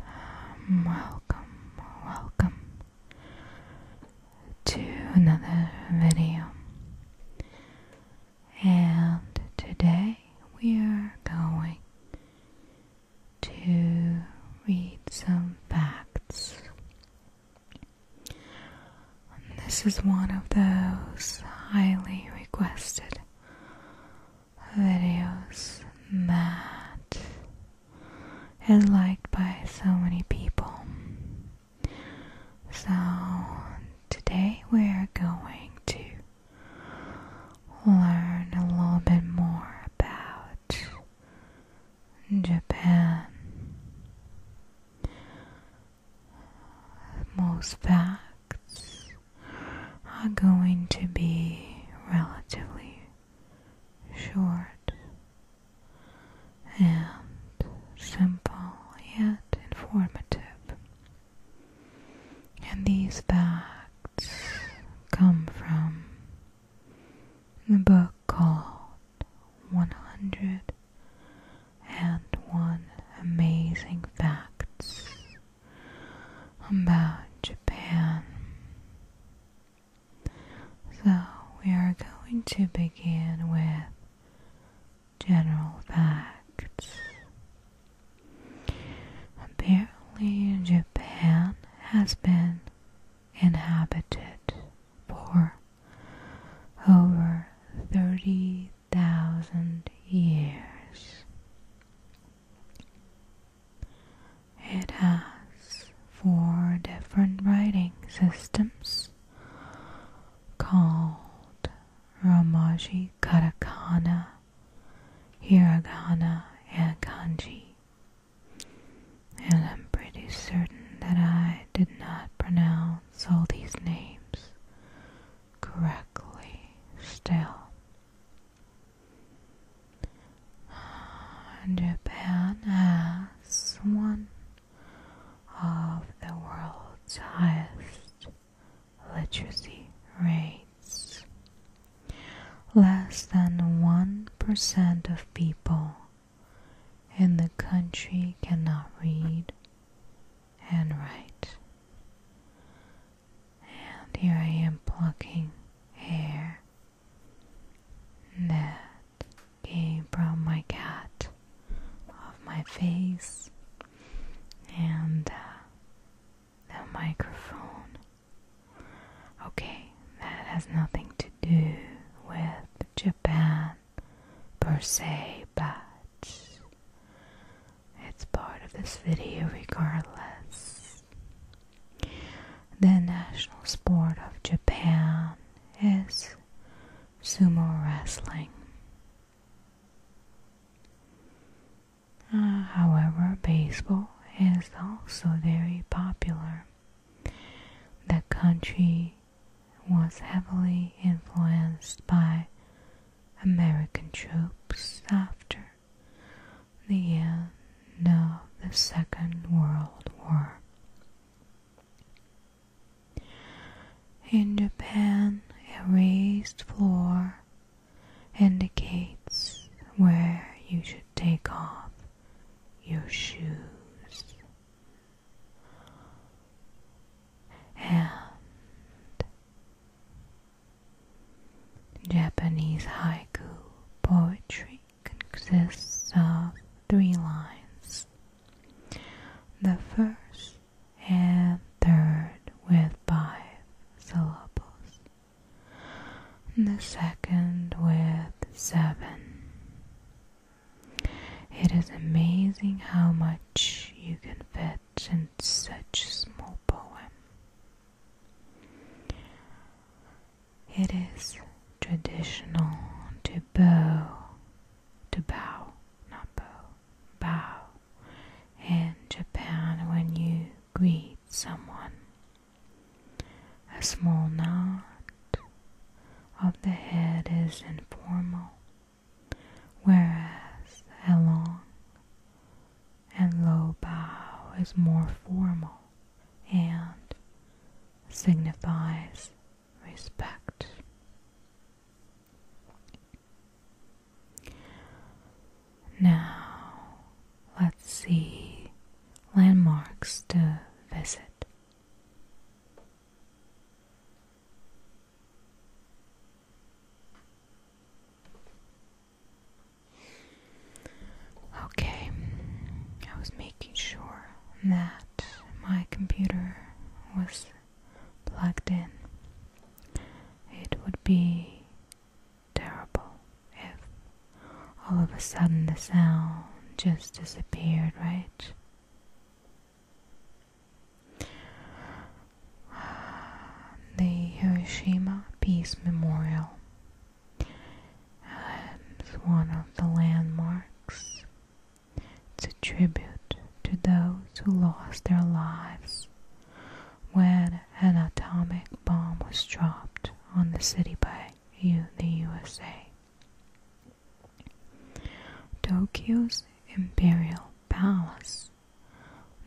Um, welcome, welcome to another video. And today we are going to read some facts. This is one of those highly requested videos that is liked by so many people. So today we are going to learn a little bit more about Japan. Most facts are going to be relatively short and simple yet informative. And these facts come from the book called 101 Amazing Facts about Japan. So, we are going to begin with general facts. Apparently, Japan has been inhabited for over thirty thousand years. It has four different writing systems called Romaji Katakana, Hiragana, and Kanji. And I'm pretty certain that I did not pronounce all these names correctly still. Japan has one of the world's highest literacy rates. Less than 1% of people in the country cannot read and write and here I am plucking hair that came from my cat off my face and uh, the microphone. Okay, that has nothing to do with Japan per se, but it's part of this video regardless. The national sport of Japan is sumo wrestling. Uh, however, baseball is also very popular. The country was heavily influenced by American troops after the end of the Second World War. In Japan, a raised floor indicates where you should take off your shoes. And Japanese haiku poetry consists of three lines. The first and third with five syllables. The second with seven. It is amazing how much you can fit such and such small poem. It is traditional to bow, to bow, not bow, bow in Japan when you greet someone. A small nod of the head is informal whereas a long and low bow is more formal and signifies respect. Now, let's see landmarks to visit. Okay, I was making sure that my computer was plugged in. It would be terrible if all of a sudden the sound just disappeared, right? the Hiroshima Peace Memorial. is one of the landmarks. It's a tribute to those who lost their lives when an atomic bomb was dropped on the city by U the USA. Tokyo's Imperial Palace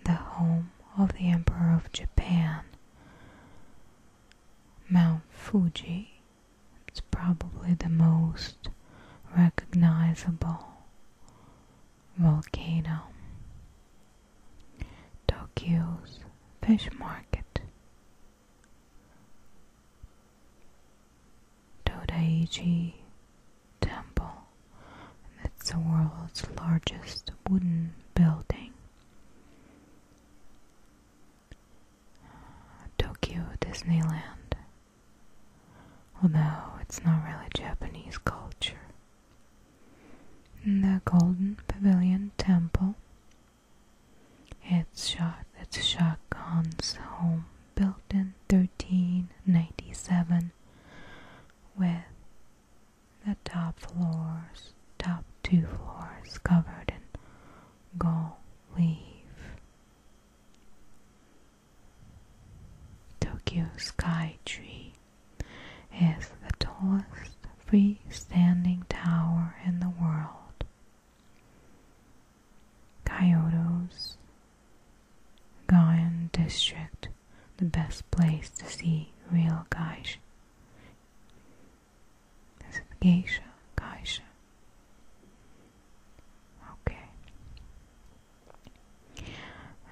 the home of the Emperor of Japan. Mount Fuji is probably the most recognizable volcano. Tokyo's fish market. Dodaichi Temple, and it's the world's largest wooden building. Tokyo Disneyland, no, it's not really Japanese culture. And the Golden Pavilion Temple. It's shot. It's Shaq Khan's home built in 1397 with the top floors, top two floors covered in gold leaf. Tokyo Sky Tree is the tallest freestanding tower in the world. Kyoto's Gaian district, the best place to see real geisha. geisha? Geisha. Okay.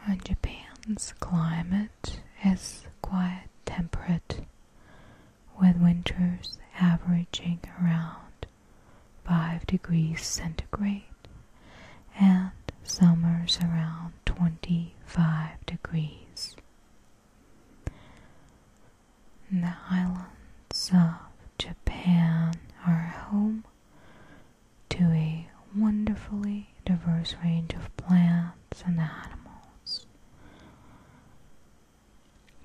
Uh, Japan's climate is quite temperate, with winters averaging around 5 degrees centigrade and summers around 25 degrees. the islands of Japan are home to a wonderfully diverse range of plants and animals.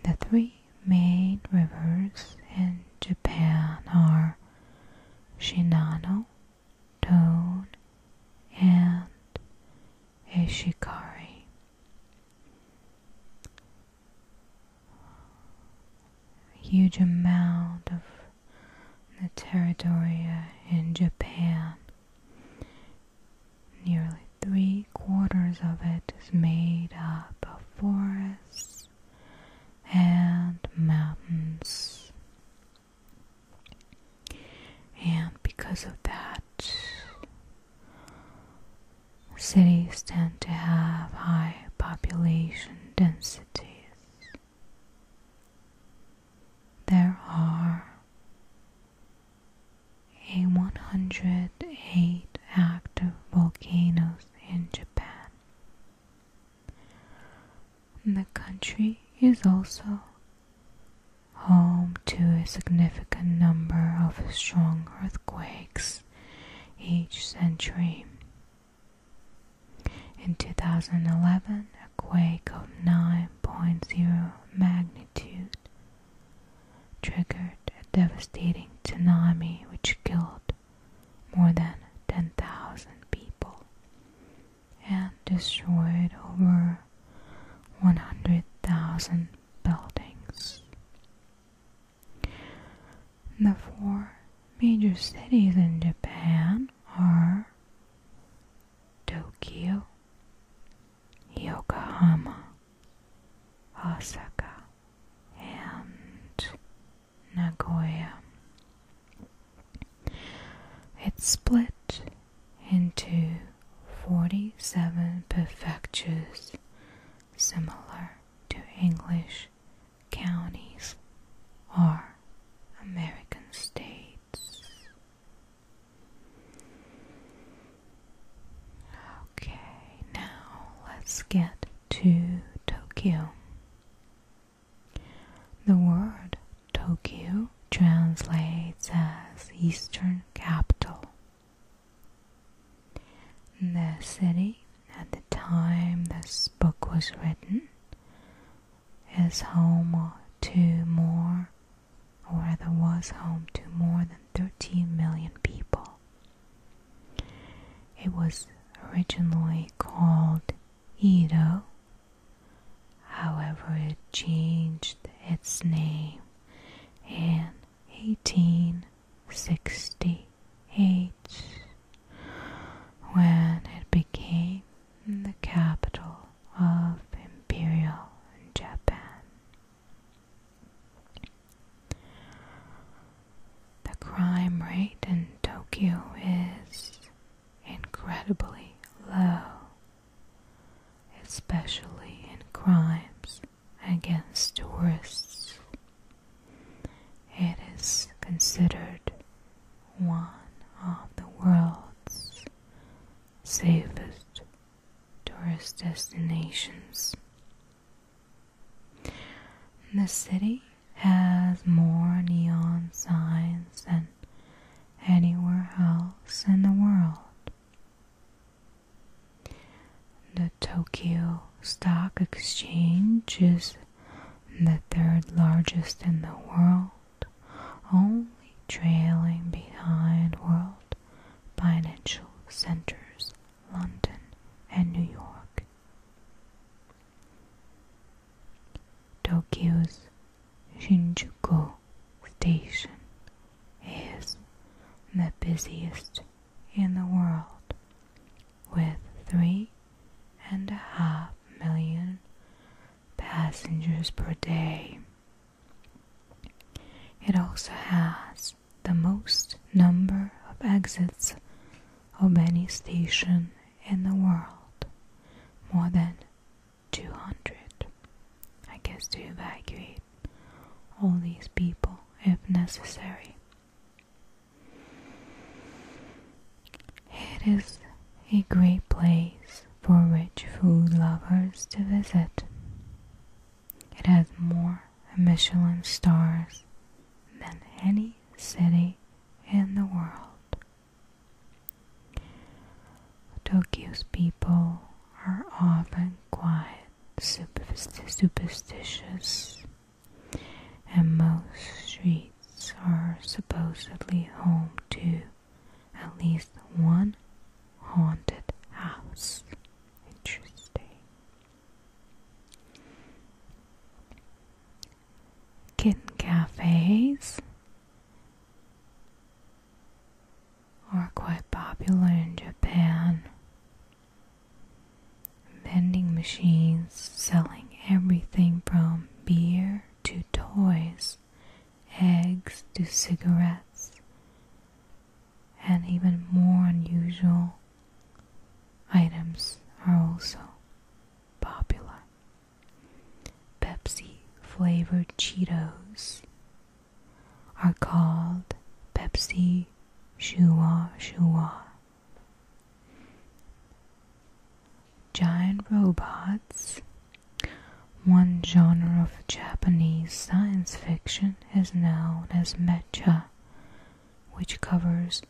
The three main rivers in Japan are Shinano, Tone, and Ishikari. Huge amount of the territory uh, in Japan. Nearly three quarters of it is made up of forests and mountains. And because of that, cities tend to have high population densities. There are a 108 active volcanoes in Japan. The country is also home to a significant number of strong earthquakes each century. In 2011, a quake of 9.0 magnitude triggered a devastating tsunami which killed more than 10,000 people and destroyed over 100,000 buildings. The four major cities in Japan are Tokyo, Yokohama, Osaka, and Nagoya. It's split into 47 prefectures similar to English counties or American states. Okay, now let's get to Tokyo. The word Tokyo translates as Eastern Capital. The city at the time this book was written is home to more, or rather was home to more than 13 million people it was originally called Edo, however, it changed its name in 1868 when it became the capital of Imperial Japan. The crime rate in Tokyo is incredibly low, especially in crimes against tourists. It is considered one of the world's safest tourist destinations. The city has more neon signs than anywhere else in the world. The Tokyo Stock Exchange is the third largest in the world, only trailing behind World Financial Centers, London, and New York. Tokyo's Shinjuku Station is the busiest in the world with three and a half million passengers per day. It also has the most number of exits of any station in the world, more than 200. I guess to evacuate all these people if necessary. It is a great place for rich food lovers to visit. It has more Michelin stars than any city in the world. Tokyo's people are often quiet, superstitious, and most streets are supposedly home to at least one haunted house. Interesting kitten cafes are quite popular in Japan. Vending machines selling everything from beer to toys, eggs to cigarettes, and even more unusual items are also popular. Pepsi flavored Cheetos are called Pepsi Shuwa Shuwa. Giant robots, one genre of Japanese science fiction, is known as mecha which covers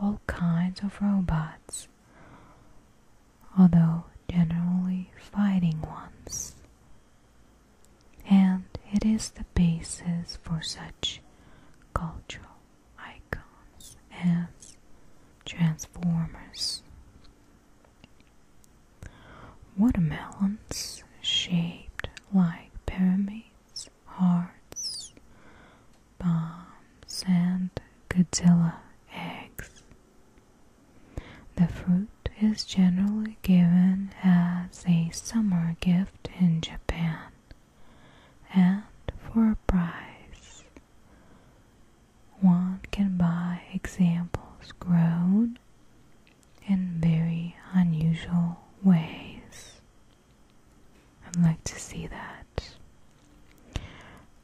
all kinds of robots, although generally fighting ones. And it is the basis for such cultural icons as Transformers. Watermelons shaped like pyramids hearts, bombs, and Godzilla eggs. The fruit is generally given as a summer gift in Japan and for a price. One can buy examples grown in very unusual ways. I'd like to see that.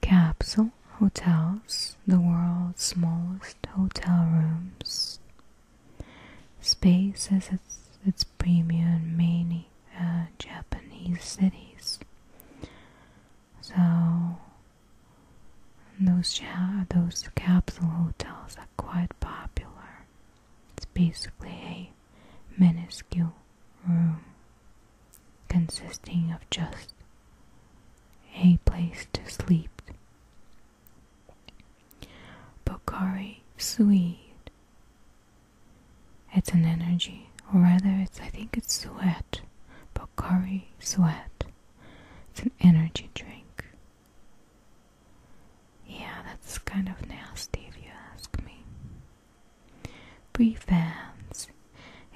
Capsule hotels, the world's smallest hotel rooms. Space is its, its premium in many uh, Japanese cities. So those those capsule hotels quite popular. It's basically a minuscule room consisting of just a place to sleep. Bokari Suede. It's an energy, or rather, it's I think it's sweat. Bokari Sweat. It's an energy drink. Yeah, that's kind of nasty if you ask me. Free fans.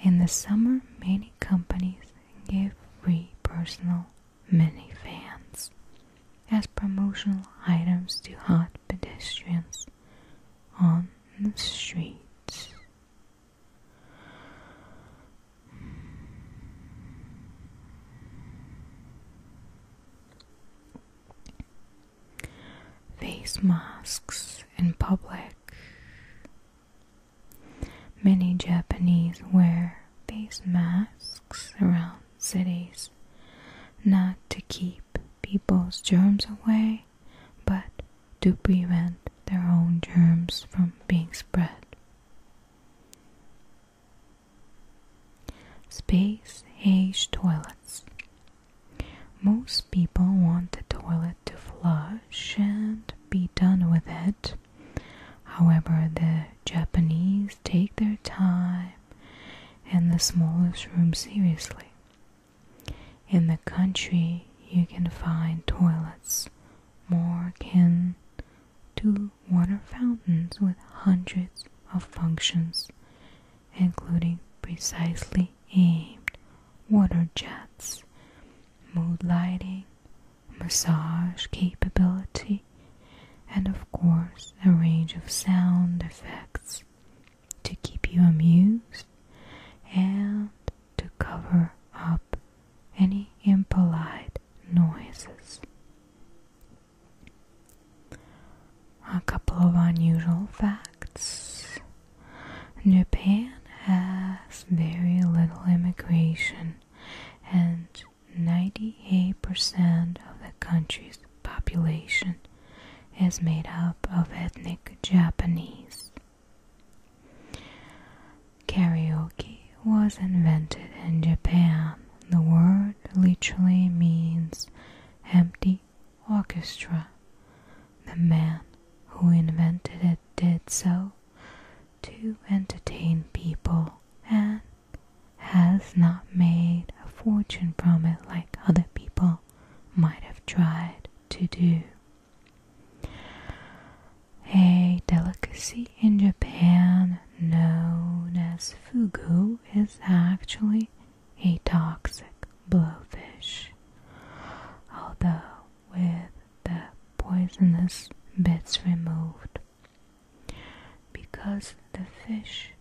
In the summer, many companies give free personal mini fans, as promotional items to hot pedestrians on the streets. Face masks in public. Many Japanese wear face masks around cities not to keep people's germs away but to prevent their own germs from being spread. Space age toilets. Most people want the toilet to flush and be done with it. However, the Japanese take their time and the smallest room seriously. In the country, you can find toilets more akin to water fountains with hundreds of functions, including precisely aimed water jets, mood lighting, massage capability, and of course a range of sound effects to keep you amused and to cover up any impolite noises. A couple of unusual facts Japan has very little immigration, and 98% of the country's population is made up of ethnic Japanese. Karaoke was invented in Japan. The word literally means empty orchestra. The man who invented it did so to entertain people and has not made a fortune from it like other people might have tried to do. A delicacy in Japan known as fugu is actually a toxic blowfish, although with the poisonous bits removed, because the fish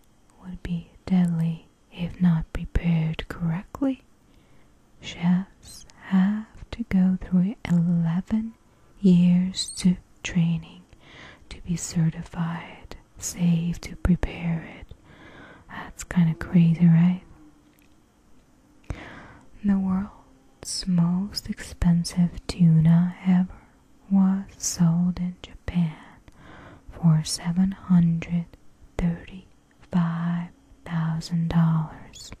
would be deadly if not prepared correctly. Chefs have to go through 11 years to training to be certified, save to prepare it. That's kind of crazy, right? The world's most expensive tuna ever was sold in Japan for seven hundred thirty five thousand dollars.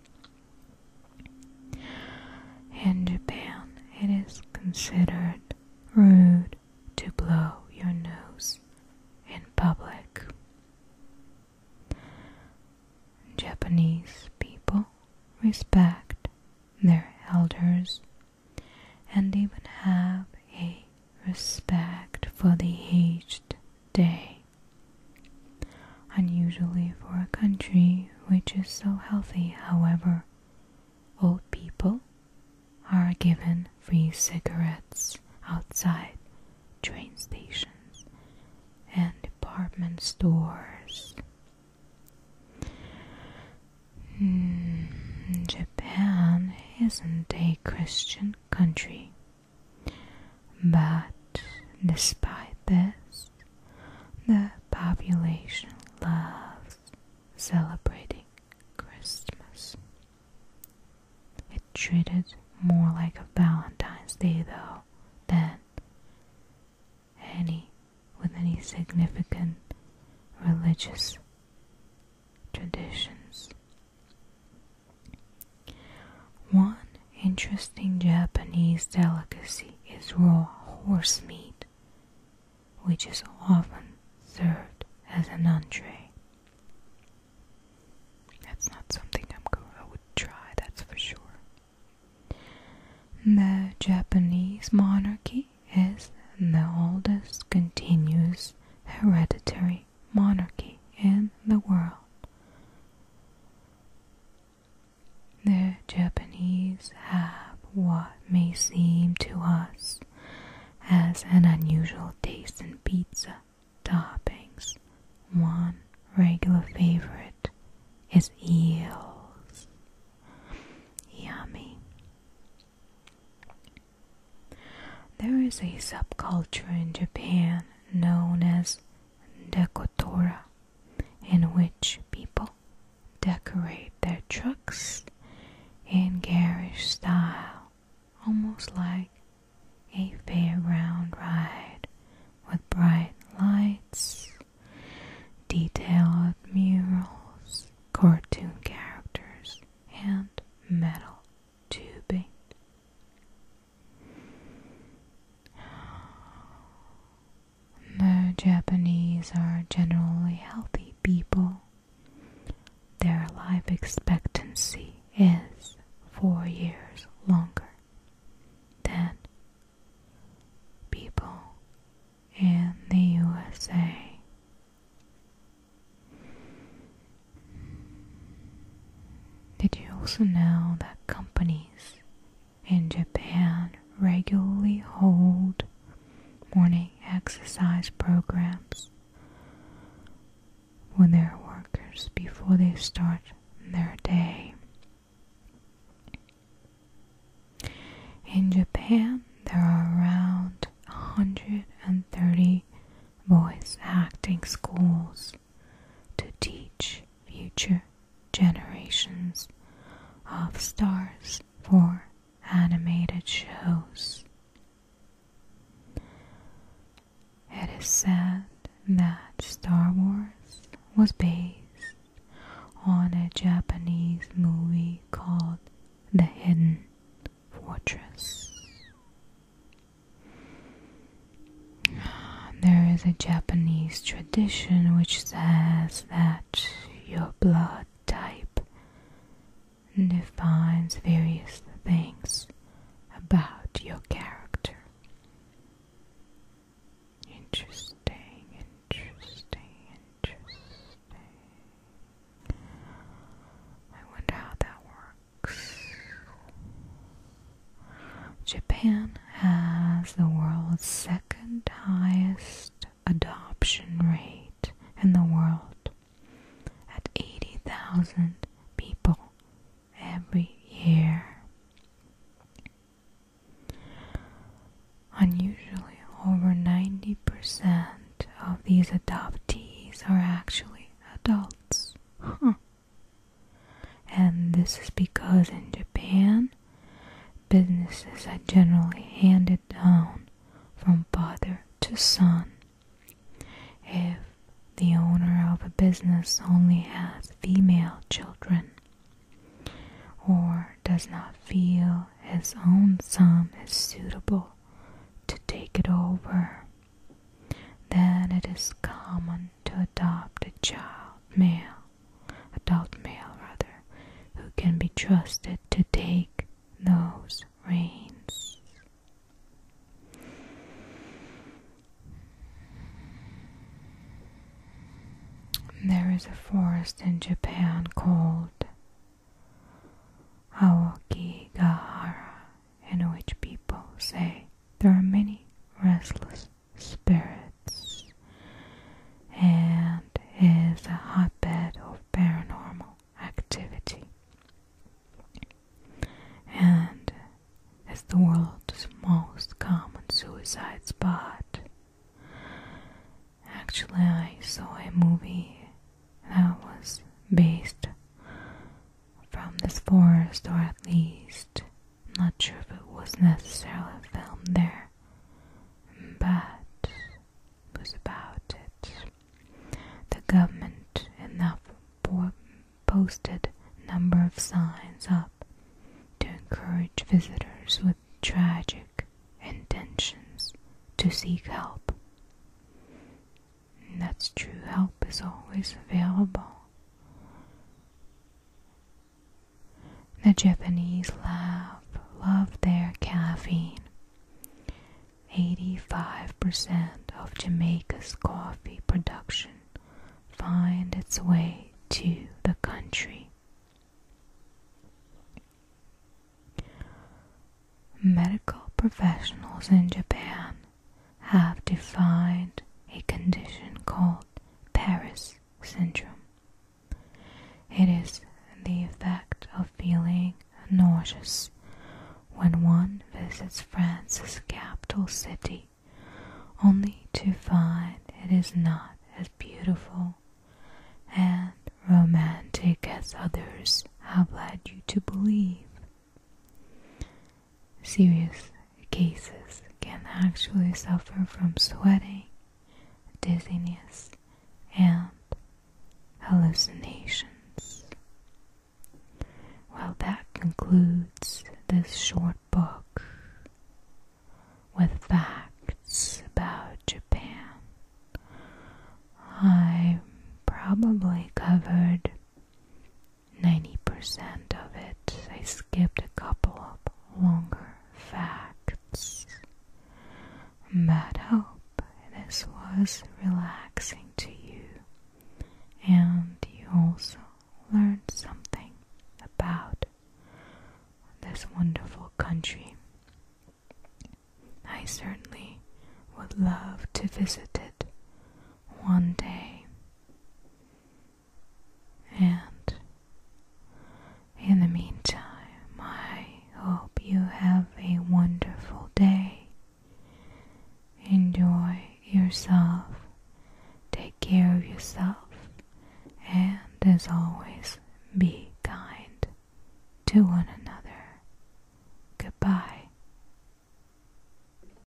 In Japan, it is considered rude to blow your nose in public. Japanese people respect their elders and even have a respect for the aged day unusually for a country which is so healthy, however. Old people are given free cigarettes outside train stations and department stores. Hmm, Japan isn't a Christian country, but despite this, the population loves celebrating Christmas. It treated more like a Valentine's Day though than any with any significant religious traditions. One interesting Japanese delicacy is raw horse meat, which is often served as an entree. That's not something I'm I would try, that's for sure. The Japanese monarchy is the oldest continuous hereditary monarchy in the world. The Japanese have what may seem to us as an unusual taste in pizza toppings. One regular favorite is eels. Yummy. There is a subculture in Japan known as Dekotora in which people decorate their trucks in garish style, almost like a fairground ride with bright lights, detailed murals, cartoon characters, and metal tubing. The Japanese are generally healthy people. Their life expectancy is four years longer than people in the USA. Did you also know that companies in Japan regularly hold morning exercise programs with their workers before they start their day. In Japan, there are around 130 voice acting schools to teach future generations of stars for animated shows. It is said that Star Wars was based on a Japanese movie called The Hidden Fortress. There is a Japanese tradition which says that your blood type defines various things about your character. Interesting, interesting, interesting. I wonder how that works. Japan has the world's second highest adoption rate in the world at 80,000 people every year. Unusually, over 90% of these adoptees are actually adults. And this is because in Japan, businesses are generally handed down from father to son. If the owner of a business only has female children or does not feel his own son is suitable to take it over, then it is common to adopt a child male, adult male rather, who can be trusted to take those reins. There is a forest in Japan called Awakigahara, in which people say there are many restless spirits and is a hotbed of paranormal activity and is the world's most common suicide spot. Actually, I saw a movie that was based from this forest or at least I'm not sure if it was necessarily filmed there, but it was about it. The government enough posted number of signs up to encourage visitors with tragic intentions to seek help. that's true, help is always available. The Japanese love, love their caffeine. 85% of Jamaica's coffee production find its way to the country. Medical professionals in Japan have defined a condition called Paris syndrome. It is the effect of feeling nauseous when one visits France's capital city, only to find it is not as beautiful and romantic as others have led you to believe. Serious cases can actually suffer from sweating, dizziness, and hallucinations. Well, that concludes this short book with facts about Japan. I probably covered 90% of it. I skipped a couple of longer facts. But I hope this was relaxing to you and you also learned something about this wonderful country. I certainly would love to visit it one day. And in the meantime, I hope you have a wonderful day. Enjoy yourself, take care of yourself, and as always, be kind to one another. Goodbye.